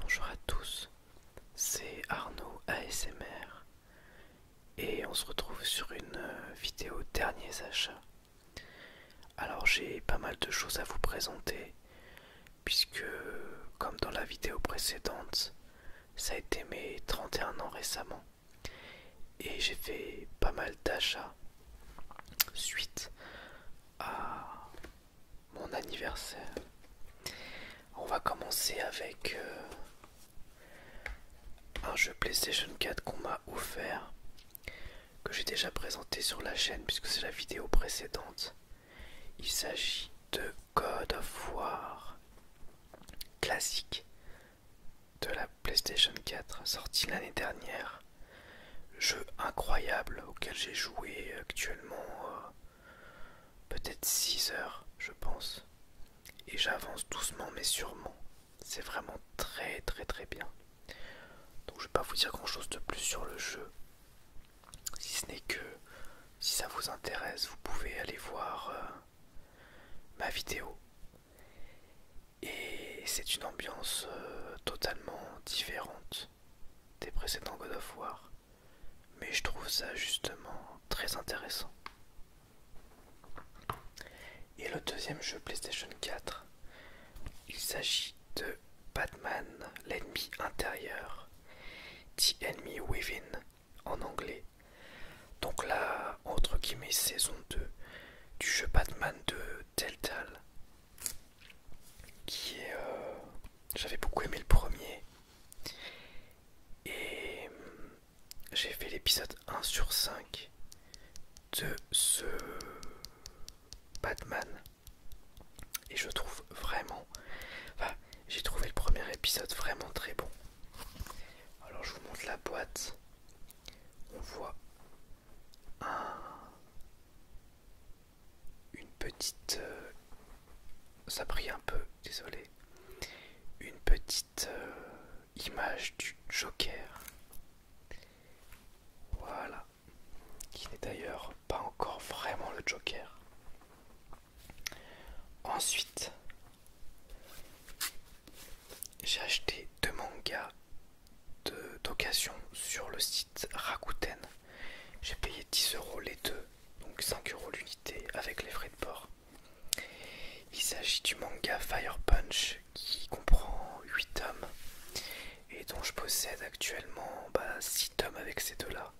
Bonjour à tous, c'est Arnaud ASMR et on se retrouve sur une euh, vidéo derniers achats. Alors j'ai pas mal de choses à vous présenter puisque comme dans la vidéo précédente, ça a été mes 31 ans récemment. Et j'ai fait pas mal d'achats suite à mon anniversaire. On va commencer avec euh, un jeu PlayStation 4 qu'on m'a offert, que j'ai déjà présenté sur la chaîne puisque c'est la vidéo précédente. Il s'agit de Code of War classique de la PlayStation 4 sorti l'année dernière. Jeu incroyable auquel j'ai joué actuellement euh, peut-être 6 heures je pense. Et j'avance doucement mais sûrement. C'est vraiment très très très bien. Donc je vais pas vous dire grand chose de plus sur le jeu. Si ce n'est que si ça vous intéresse, vous pouvez aller voir euh, ma vidéo. Et c'est une ambiance euh, totalement différente des précédents God of War. Mais je trouve ça justement très intéressant. Et le deuxième jeu PlayStation 4, il s'agit de Batman, l'ennemi intérieur, The Enemy Within en anglais, donc là, entre guillemets, saison 2 du jeu Batman de Deltal. Qui est... Euh, j'avais beaucoup aimé le premier. Et euh, j'ai fait l'épisode 1 sur 5 de ce Batman. Et je trouve vraiment... Enfin, j'ai trouvé le premier épisode vraiment très bon. Alors je vous montre la boîte. On voit une petite... Euh, ça pris un peu, désolé. Une petite euh, image du Joker. Voilà. Qui n'est d'ailleurs pas encore vraiment le Joker. Ensuite, j'ai acheté deux mangas d'occasion sur le site Rakuten. J'ai payé 10 euros les deux, donc 5 euros l'unité avec les frais de port. Il s'agit du manga Fire Punch qui comprend 8 tomes et dont je possède actuellement 6 bah, tomes avec ces deux-là.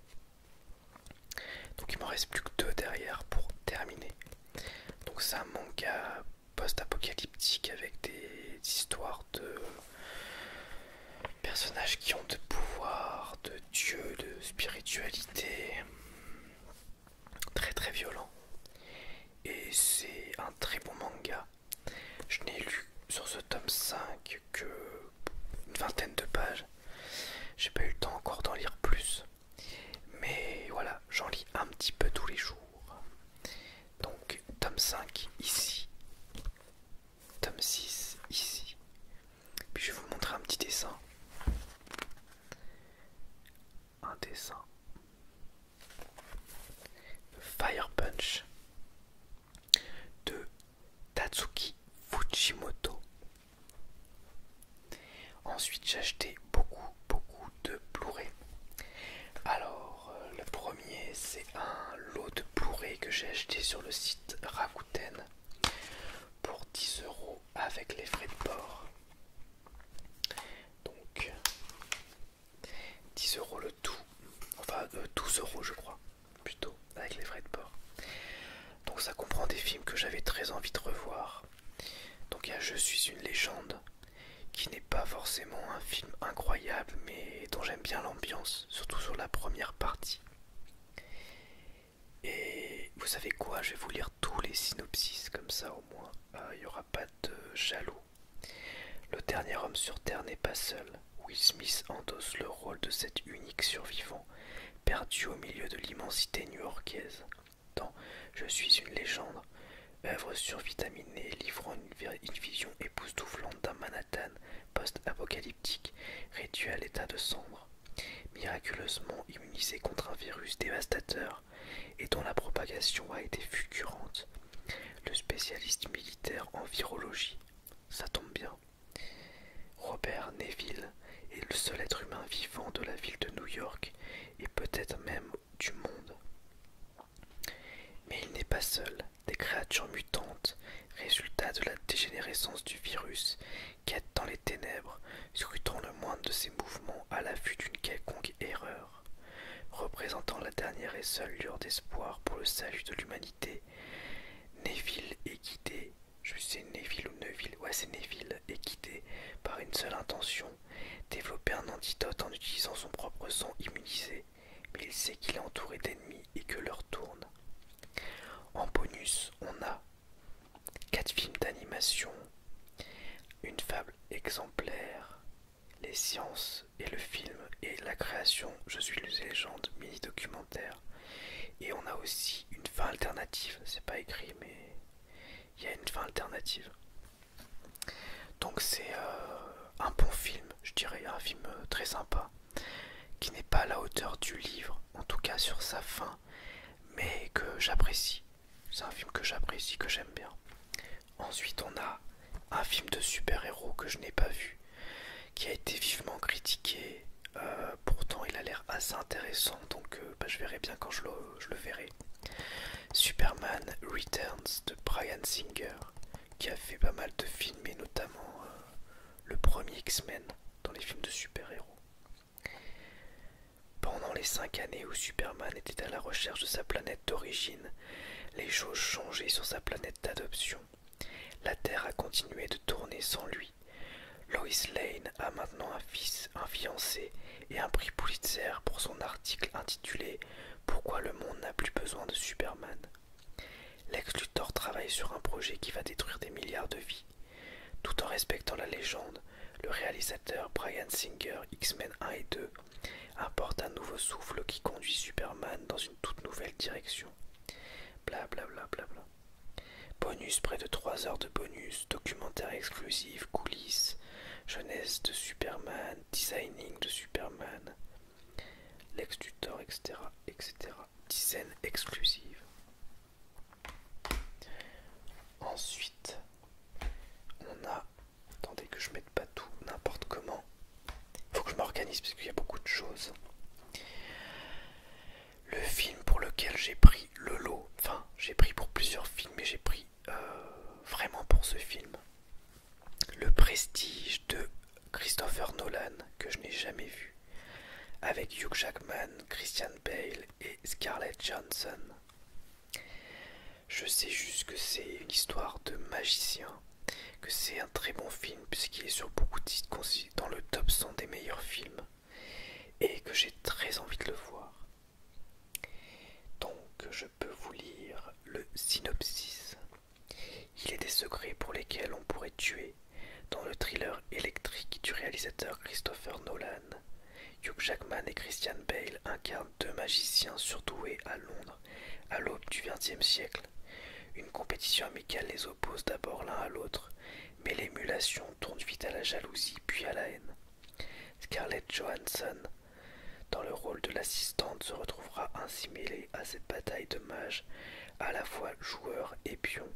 Donc il m'en reste plus que deux derrière pour terminer. Donc c'est un manga post-apocalyptique avec des histoires de personnages qui ont de pouvoir, de dieu, de spiritualité. Très très violent. Et c'est un très bon manga. Je n'ai lu sur ce tome 5 que une vingtaine de pages. J'ai pas eu le temps encore d'en lire plus. Mais voilà, j'en lis un petit peu tous les jours. Donc, tome 5 ici, tome 6 ici. Puis je vais vous montrer un petit dessin. Un dessin. Fire Punch de Tatsuki Fujimoto. Ensuite, j'ai acheté beaucoup, beaucoup de blu Alors, euh, le premier, c'est un lot de Blu-ray que j'ai acheté sur le site Rakuten pour 10 euros avec les frais de port. Donc, 10 euros le tout, enfin 12€ euh, euros, je crois, plutôt avec les frais de port. Donc ça comprend des films que j'avais très envie de revoir. Donc il y a Je suis une légende, qui n'est pas forcément un film incroyable, mais dont j'aime bien l'ambiance, surtout sur la première partie. Et vous savez quoi, je vais vous lire tous les synopsis, comme ça au moins euh, il n'y aura pas de jaloux. Le dernier homme sur Terre n'est pas seul. Will Smith endosse le rôle de cet unique survivant perdu au milieu de l'immensité new-yorkaise, dans Je suis une légende, œuvre survitaminée livrant une, vision époustouflante d'un Manhattan post-apocalyptique réduit à l'état de cendre, miraculeusement immunisé contre un virus dévastateur et dont la propagation a été fulgurante. Le spécialiste militaire en virologie, ça tombe bien. Robert Neville est le seul être humain vivant de la ville de New York et peut-être même du monde. Mais il n'est pas seul. Des créatures mutantes, résultat de la dégénérescence du virus, quêtent dans les ténèbres, scrutant le moindre de ses mouvements à la l'affût d'une quelconque erreur. Représentant la dernière et seule lueur d'espoir pour le salut de l'humanité, Neville est guidé je sais Neville ou Neville. Ouais, c'est Neville est guidé par une seule intention développer un antidote en utilisant son propre sang immunisé. Mais il sait qu'il est entouré d'ennemis et que leur tourne. En bonus, on a quatre films d'animation, une fable exemplaire, les sciences et le film et la création Je suis une légende mini-documentaire. Et on a aussi une fin alternative, c'est pas écrit, mais il y a une fin alternative. Donc c'est euh, un bon film, je dirais, un film euh, très sympa, qui n'est pas à la hauteur du livre, en tout cas sur sa fin, mais que j'apprécie. C'est un film que j'apprécie, que j'aime bien. Ensuite on a un film de super-héros que je n'ai pas vu, qui a été vivement critiqué, euh, pourtant il a l'air assez intéressant, donc euh, bah, je verrai bien quand je le, verrai. Superman Returns de Brian Singer, qui a fait pas mal de films, et notamment euh, le premier X-Men dans les films de super-héros. Pendant les cinq années où Superman était à la recherche de sa planète d'origine, les choses changeaient sur sa planète d'adoption. La Terre a continué de tourner sans lui, Lois Lane a maintenant un fils, un fiancé et un prix Pulitzer pour son article intitulé Pourquoi le monde n'a plus besoin de Superman. Lex Luthor travaille sur un projet qui va détruire des milliards de vies. Tout en respectant la légende, le réalisateur Brian Singer X-Men 1 et 2 apporte un nouveau souffle qui conduit Superman dans une toute nouvelle direction. Bla bla bla Bonus près de 3 heures de bonus, documentaire exclusif, coulisses, jeunesse de Superman, designing de Superman, l'ex-tutor, etc., etc. Dizaines exclusives. Ensuite, on a. Attendez que je mette pas tout n'importe comment. Faut que je m'organise parce qu'il y a beaucoup de choses le film pour lequel j'ai pris le lot, enfin j'ai pris pour plusieurs films mais j'ai pris euh, vraiment pour ce film. Le prestige de Christopher Nolan que je n'ai jamais vu avec Hugh Jackman, Christian Bale et Scarlett Johnson. Je sais juste que c'est une histoire de magicien, que c'est un très bon film puisqu'il est sur beaucoup de sites dans le top 100 des meilleurs films, et que j'ai très envie de le voir. Donc je peux vous lire le synopsis. Il est des secrets pour lesquels on pourrait tuer dans le thriller électrique du réalisateur Christopher Nolan. Hugh Jackman et Christian Bale incarnent deux magiciens surdoués à Londres à l'aube du XXe siècle. Une compétition amicale les oppose d'abord l'un à l'autre mais l'émulation tourne vite à la jalousie puis à la haine. Scarlett Johansson, dans le rôle de l'assistante, se retrouvera ainsi mêlée à cette bataille de mages, à la fois joueur et pion.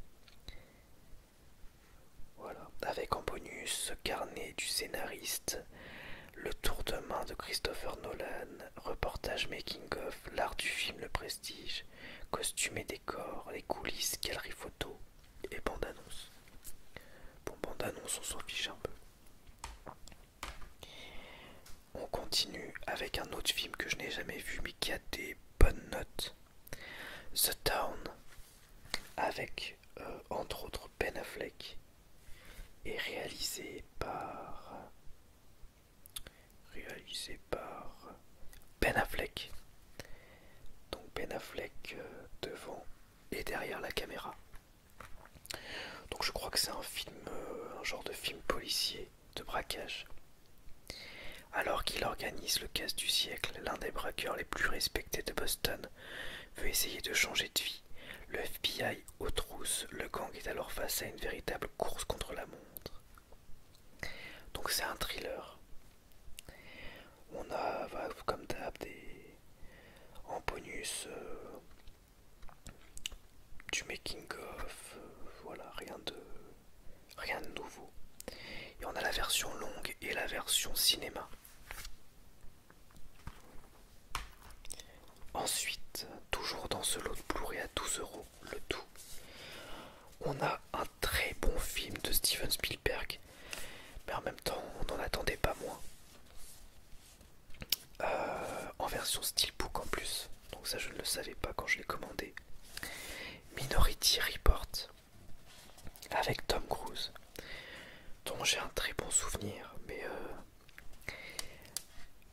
Voilà, avec en bonus ce carnet du scénariste, le tour de main de Christopher Nolan, reportage making of, l'art du film, le prestige, Costumes et décors, les coulisses, galeries photos et bande-annonce. Bon, bande-annonce, on s'en fiche un peu. On continue avec un autre film que je n'ai jamais vu mais qui a des bonnes notes. The Town, avec euh, entre autres Ben Affleck, et réalisé par réalisé par Ben Affleck. Donc Ben Affleck euh, devant et derrière la caméra. Donc je crois que c'est un film, euh, un genre de film policier de braquage. Alors qu'il organise le casse du siècle, l'un des braqueurs les plus respectés de Boston veut essayer de changer de vie. Le FBI aux trousses, le gang est alors face à une véritable course contre la montre. Donc c'est un thriller. On a bah, comme d'hab des en bonus euh, du making of, euh, voilà, rien de rien de nouveau. Et on a la version longue et la version cinéma. Ensuite, toujours dans ce lot de Blu-ray à 12 euros, le tout. On a un très bon film de Steven Spielberg, mais en même temps, on n'en attendait pas moins. Euh, en version steelbook en plus, donc ça je ne le savais pas quand je l'ai commandé. Minority Report avec Tom Cruise, dont j'ai un très bon souvenir, mais euh,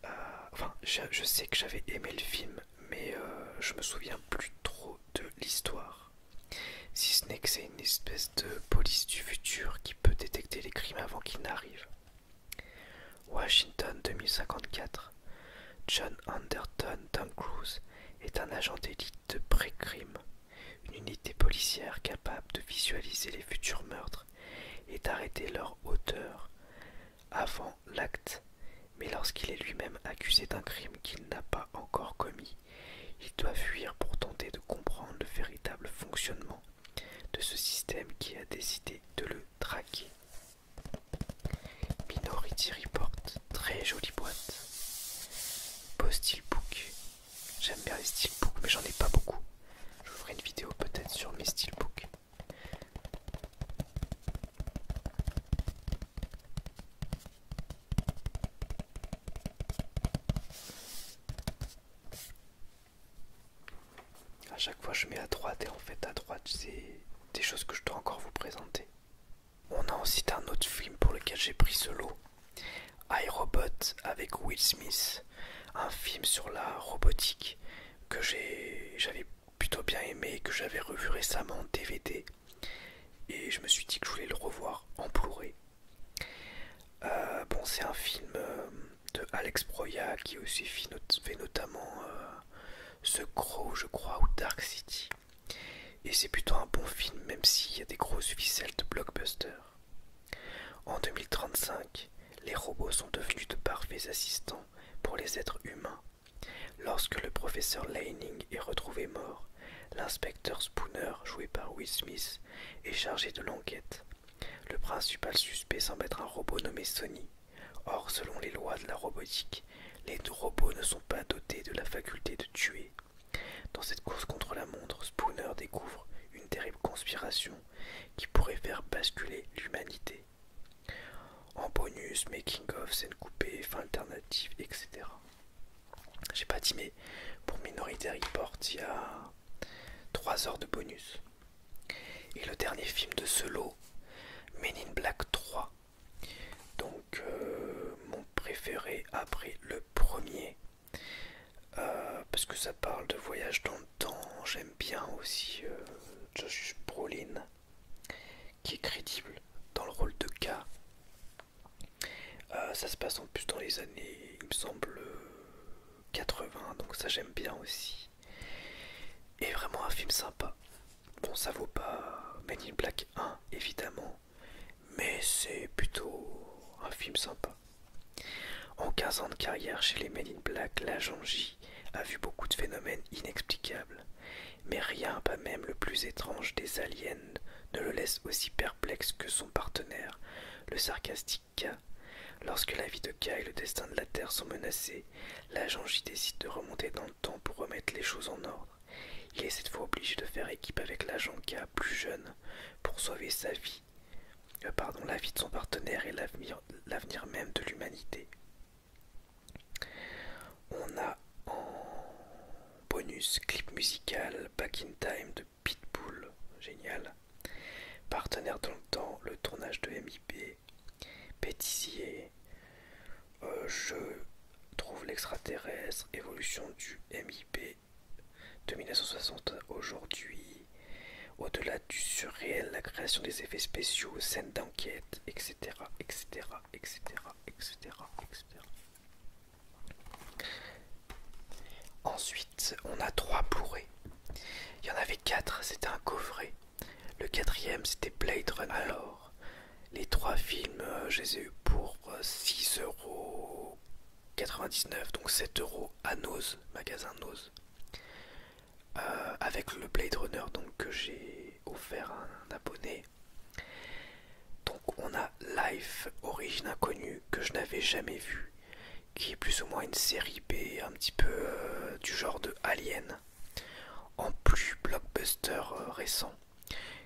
euh, enfin, je, sais que j'avais aimé le film, mais euh, je me souviens plus trop de l'histoire. Si ce n'est que c'est une espèce de police du futur qui peut détecter les crimes avant qu'ils n'arrivent. Washington 2054. John Anderton Tom Cruise est un agent d'élite de pré-crime, une unité policière capable de visualiser les futurs meurtres et d'arrêter leur auteur avant l'acte, mais lorsqu'il est lui-même accusé d'un crime qu'il n'a pas encore commis, il doit fuir pour tenter de comprendre le véritable fonctionnement de ce système qui a décidé de le traquer. Minority Report, très jolie boîte. Beau book. J'aime bien les steelbooks, mais j'en ai pas beaucoup. Je ferai une vidéo peut-être sur mes steelbooks. À chaque fois, je mets à droite et en fait, à droite, c'est des choses que je dois encore vous présenter. On a aussi un autre film pour lequel j'ai pris ce lot, iRobot avec Will Smith, un film sur la robotique que j'avais plutôt bien aimé que j'avais revu récemment en DVD et je me suis dit que je voulais le revoir en plouré. Euh, bon, c'est un film euh, de Alex Broya, qui aussi fait, notamment ce euh, gros, je crois, ou Dark City. Et c'est plutôt un bon film, même s'il y a des grosses ficelles de blockbuster. En 2035, les robots sont devenus de parfaits assistants pour les êtres humains Lorsque le professeur Lanning est retrouvé mort, l'inspecteur Spooner, joué par Will Smith, est chargé de l'enquête. Le principal suspect semble être un robot nommé Sony. Or, selon les lois de la robotique, les robots ne sont pas dotés de la faculté de tuer. Dans cette course contre la montre, Spooner découvre une terrible conspiration qui pourrait faire basculer l'humanité. En bonus, making of, scène coupée, fin alternative, etc. J'ai pas dit, mais pour Minority Report, il y a 3 heures de bonus. Et le dernier film de ce lot, Men in Black 3. Donc, euh, mon préféré après le premier. Euh, parce que ça parle de voyage dans le temps. J'aime bien aussi Joshua euh, Josh Brolin qui est crédible dans le rôle de K. Euh, ça se passe en plus dans les années, il me semble, 80, euh, donc ça j'aime bien aussi. Et vraiment un film sympa. Bon, ça vaut pas Men in Black 1, évidemment, mais c'est plutôt un film sympa. En 15 ans de carrière chez les Men in Black, l'agent J a vu beaucoup de phénomènes inexplicables, mais rien, pas même le plus étrange des aliens, ne le laisse aussi perplexe que son partenaire, le sarcastique K. Lorsque la vie de K et le destin de la Terre sont menacés, l'agent J décide de remonter dans le temps pour remettre les choses en ordre. Il est cette fois obligé de faire équipe avec l'agent K, plus jeune, pour sauver sa vie, euh, pardon, la vie de son partenaire et l'avenir même de l'humanité. On a en bonus clip musical Back in Time de Pitbull, génial. Partenaire dans le temps, le tournage de MIP, Pétissier, euh, Je trouve l'extraterrestre, évolution du MIP de 1960 aujourd'hui, au-delà du surréel, la création des effets spéciaux, scènes d'enquête, etc., etc., etc., etc., etc. Ensuite, on a trois bourrées. Il y en avait quatre, c'était un coffret. Le quatrième, c'était Blade Runner. Alors, les trois films, euh, je les ai eu pour 6,99€, euh, donc 7€ à Nose, magasin Nose. Euh, avec le Blade Runner donc, que j'ai offert à un abonné. Donc on a Life, origine inconnue, que je n'avais jamais vu, qui est plus ou moins une série B, un petit peu euh, du genre de Alien, en plus blockbuster euh, récent,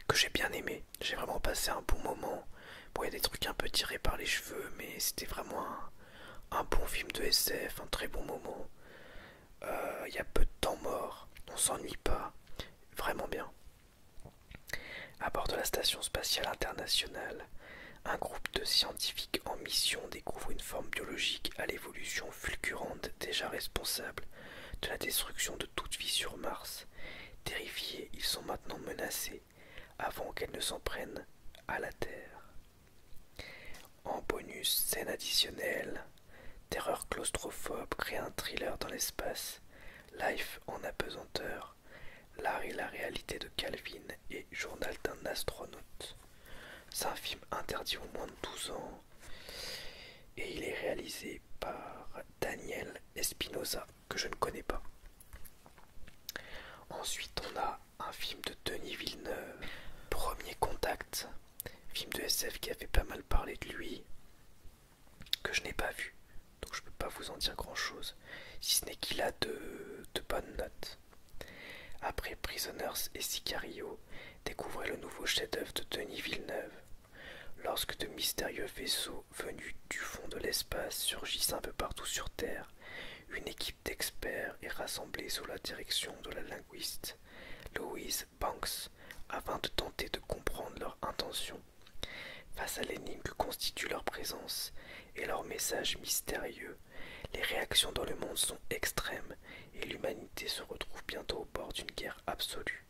que j'ai bien aimé. J'ai vraiment passé un bon moment. Bon, il y a des trucs un peu tirés par les cheveux, mais c'était vraiment un bon film de SF, un très bon moment il euh, y a peu de temps mort, on s'ennuie pas, vraiment bien. À bord de la station spatiale internationale, un groupe de scientifiques en mission découvre une forme biologique à l'évolution fulgurante déjà responsable de la destruction de toute vie sur Mars. Terrifiés, ils sont maintenant menacés avant qu'elle ne s'en prenne à la Terre. En bonus, scène additionnelle, terreur claustrophobe crée un thriller dans l'espace, life en apesanteur, l'art et la réalité de Calvin et journal d'un astronaute. C'est un film interdit Au moins de 12 ans et il est réalisé par Daniel Espinosa que je ne connais pas. Ensuite on a un film de Denis Villeneuve, Premier Contact, film de SF qui avait pas mal parlé de lui, que je n'ai pas vu, donc je peux pas vous en dire grand chose, si ce n'est qu'il a de, de bonnes notes. Après Prisoners et Sicario, découvrez le nouveau chef-d'œuvre de Denis Villeneuve. Lorsque de mystérieux vaisseaux venus du fond de l'espace surgissent un peu partout sur Terre, une équipe d'experts est rassemblés sous la direction de la linguiste Louise Banks afin de tenter de comprendre leur intention face à l'énigme que constitue leur présence et leur message mystérieux. Les réactions dans le monde sont extrêmes et l'humanité se retrouve bientôt au bord d'une guerre absolue.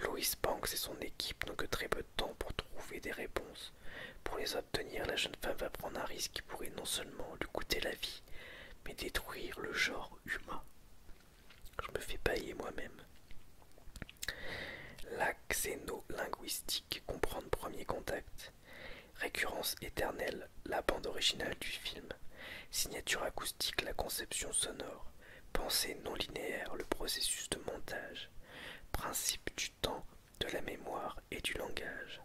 Louise Banks et son équipe n'ont que très peu de temps pour trouver des réponses. Pour les obtenir, la jeune femme va prendre un risque qui pourrait non seulement lui coûter la vie, mais détruire le genre humain. Je me fais payer moi-même. La xénolinguistique, comprendre premier contact. Récurrence éternelle, la bande originale du film. Signature acoustique, la conception sonore. Pensée non linéaire, le processus de montage. Principe du temps, de la mémoire et du langage.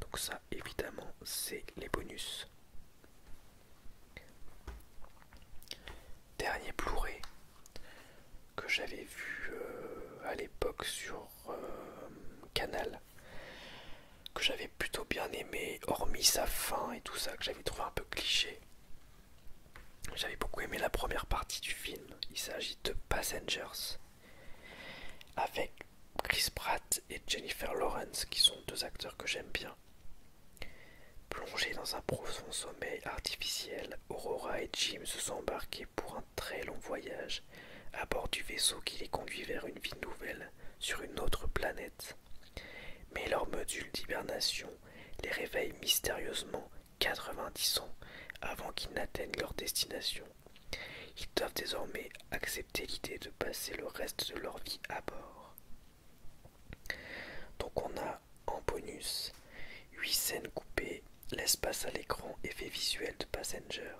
Donc ça évidemment c'est les bonus. Dernier blu que j'avais vu euh, à l'époque sur euh, Canal, que j'avais plutôt bien aimé, hormis sa fin et tout ça, que j'avais trouvé un peu cliché. J'avais beaucoup aimé la première partie du film, il s'agit de Passengers avec Chris Pratt et Jennifer Lawrence, qui sont deux acteurs que j'aime bien. Plongés dans un profond sommeil artificiel, Aurora et Jim se sont embarqués pour un très long voyage à bord du vaisseau qui les conduit vers une vie nouvelle sur une autre planète. Mais leur module d'hibernation les réveille mystérieusement 90 ans avant qu'ils n'atteignent leur destination. Ils doivent désormais accepter l'idée de passer le reste de leur vie à bord. Donc on a en bonus 8 scènes coupées, l'espace à l'écran, effet visuel de Passenger.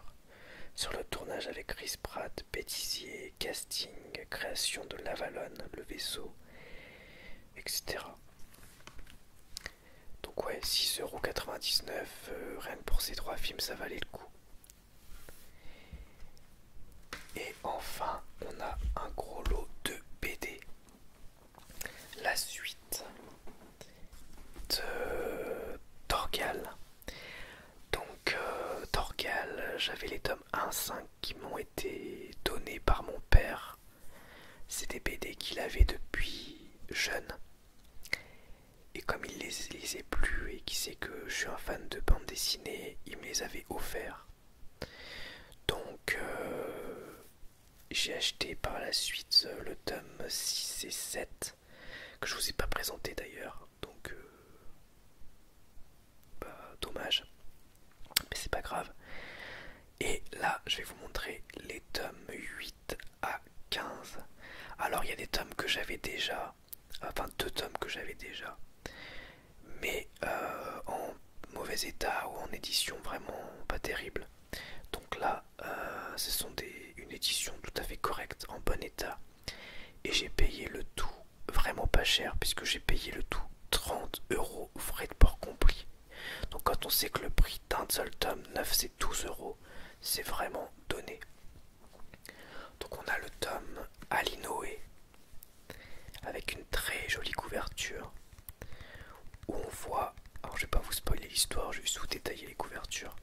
Sur le tournage avec Chris Pratt, bêtisier, casting, création de l'Avalon, le vaisseau, etc. Donc ouais, 6,99€, euh, rien que pour ces trois films, ça valait le coup. Et enfin, on a un gros lot de BD. La suite de Torgal. Donc, euh, j'avais les tomes 1-5 qui m'ont été donnés par mon père. C'est des BD qu'il avait depuis jeune. Et comme il les lisait plus et qui sait que je suis un fan de bande dessinée, il me les avait offerts. Donc euh, j'ai acheté par la suite euh, le tome 6 et 7 que je vous ai pas présenté d'ailleurs. Donc euh, bah, dommage. Mais c'est pas grave. Et là, je vais vous montrer les tomes 8 à 15. Alors il y a des tomes que j'avais déjà, enfin deux tomes que j'avais déjà, mais euh, en mauvais état ou en édition vraiment pas terrible. Donc là, euh, ce sont des, une édition tout à fait correcte, en bon état. Et j'ai payé le tout vraiment pas cher, puisque j'ai payé le tout 30 euros frais de port compris. Donc quand on sait que le prix d'un seul tome neuf c'est 12 euros, c'est vraiment donné. Donc on a le tome Alinoé avec une très jolie couverture où on voit, alors je vais pas vous spoiler l'histoire, je vais juste détailler les couvertures,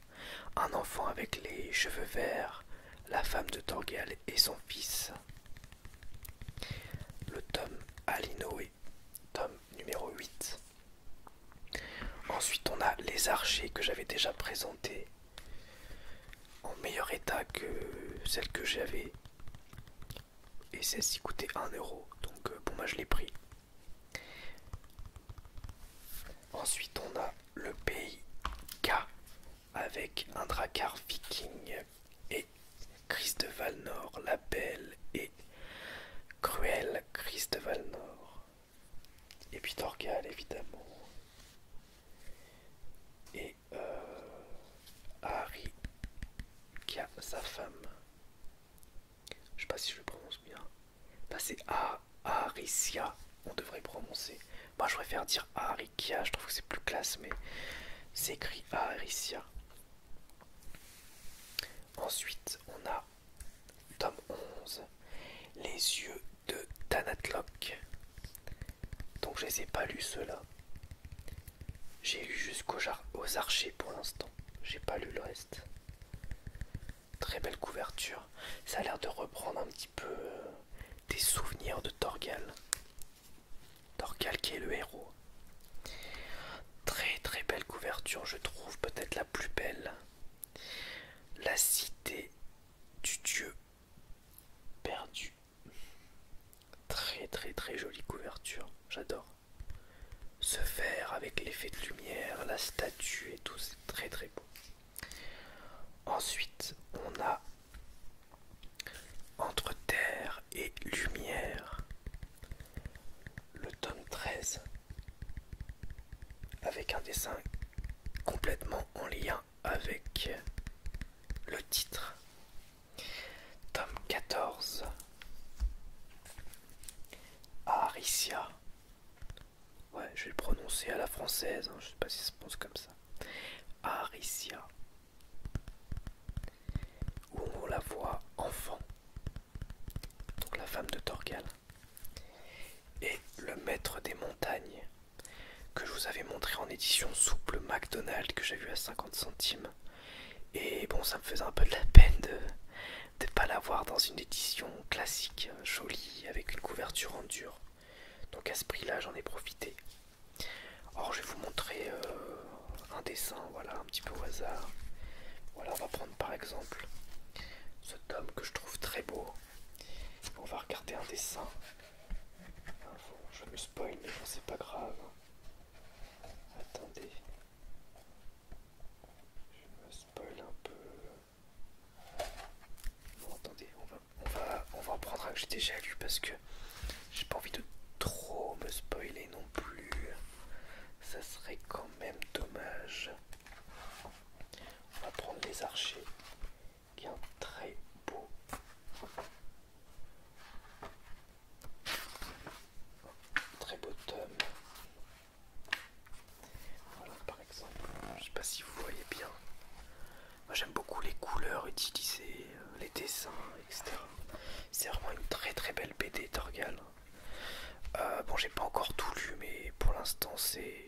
un enfant avec les cheveux verts, la femme de Torgal et son fils. Le tome Alinoé, tome numéro 8. Ensuite, on a les archers que j'avais déjà présentés en meilleur état que celles que j'avais. Et celle-ci coûtait 1€. Donc, euh, bon, moi je l'ai pris. Ensuite, on a le pays K avec un drakkar viking et Chris de Valnor, la belle et cruelle Chris de Valnor. Et puis évidemment. Et euh, Harry, qui a sa femme. Je sais pas si je le prononce bien. Bah c'est Aricia, on devrait prononcer. Moi, je préfère dire Aricia, je trouve que c'est plus classe, mais c'est écrit Aricia. Ensuite, on a, tome 11, Les yeux de Tanatlok. Donc, je les ai pas lu ceux-là. J'ai lu jusqu'aux archers pour l'instant. J'ai pas lu le reste. Très belle couverture. Ça a l'air de reprendre un petit peu euh, des souvenirs de Torgal. Torgal qui est le héros. Très très belle couverture, je trouve peut-être la plus belle la cité du dieu perdu. Très très très jolie couverture, j'adore. Ce verre avec l'effet de lumière, la statue et tout, c'est très très beau. Ensuite, on a Entre terre et lumière, le tome 13 avec un dessin complètement en lien avec le titre. Tome 14 Aricia. Ouais, je vais le prononcer à la française, je hein, je sais pas si ça se prononce comme ça. Aricia. Où on la voit enfant donc la femme de Torgal, et le maître des montagnes, que je vous avais montré en édition souple McDonald's, que j'ai vu à 50 centimes. Et bon, ça me faisait un peu de la peine de ne pas l'avoir dans une édition classique, hein, jolie, avec une couverture en dur. Donc à ce prix-là, j'en ai profité. Or, je vais vous montrer euh, un dessin, voilà, un petit peu au hasard. Voilà, on va prendre par exemple ce tome que je trouve très beau. On va regarder un dessin. Je me spoil, mais bon, c'est pas grave. Attendez. Je me spoil un peu. attendez, on va, on va, on va un que j'ai déjà lu parce que j'ai pas envie de trop me spoiler non plus. Ça serait quand même dommage. On va prendre les archers, qui est un très beau. Très beau tome. par exemple. Je ne sais pas si vous voyez bien. Moi j'aime beaucoup les couleurs utilisées, euh, les dessins, etc. C'est vraiment une très très belle BD d'orgal. Euh, bon, j'ai pas encore tout lu, mais pour l'instant, c'est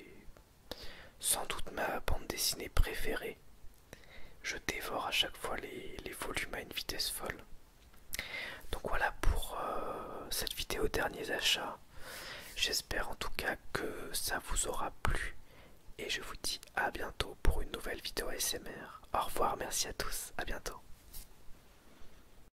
sans doute ma bande dessinée préférée. Je dévore à chaque fois les, volumes à une vitesse folle. Donc voilà pour euh, cette vidéo derniers achats. J'espère en tout cas que ça vous aura plu. Et je vous dis à bientôt pour une nouvelle vidéo ASMR. Au revoir, merci à tous, à bientôt.